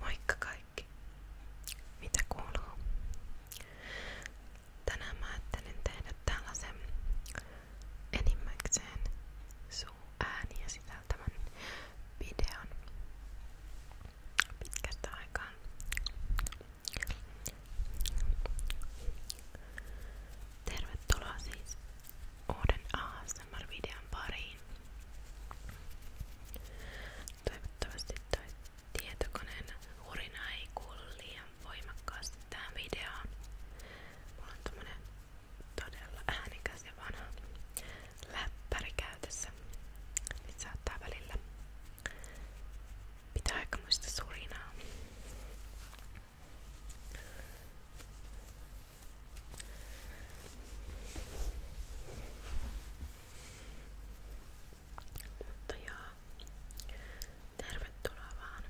Moikka kaikki! Mitä kuuluu? Tänään mä ajattelin tehdä tällaisen enimmäkseen suuääniä sisältävän videon pitkästä aikaan. Tervetuloa siis uuden AAS ASMR-videon pariin. Toivottavasti toi tietokoneen hurina ei kuulu liian voimakkaasti tähän videoon. Mulla on tommonen todella äänikäs ja vanha läppäri käytössä. Nyt saattaa välillä pitää aikamoista surinaa. Mutta joo, tervetuloa vaan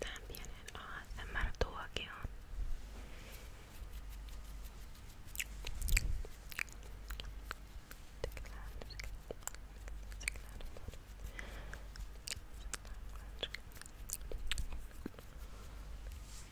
tähän pieneen ASMR-tuokioon. Thank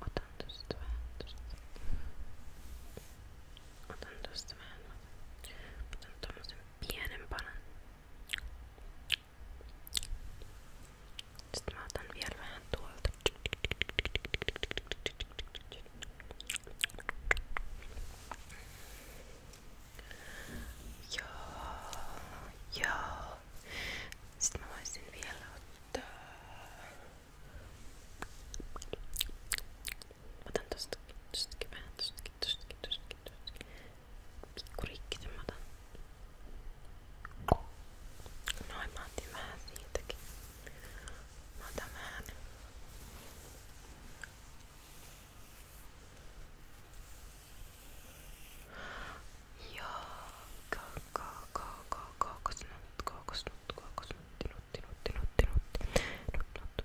Otan tuosta vähän, tuosta. Otan tuosta vähän. Otan tuommoisen pienen palan. Sitten mä otan vielä vähän tuolta. Joo, joo. Sitten mä voisin vielä ottaa. Otan tostakin, tostakin vähän, tostakin, tostakin, tostakin, tostakin pikkurikki sen mä otan. Noin mä otin vähän siitäkin. Mä otan vähän. Joo, kookosnut, kookosnut, kookosnutti, nutti, nutti, nutti, nutti, nutti, nutti.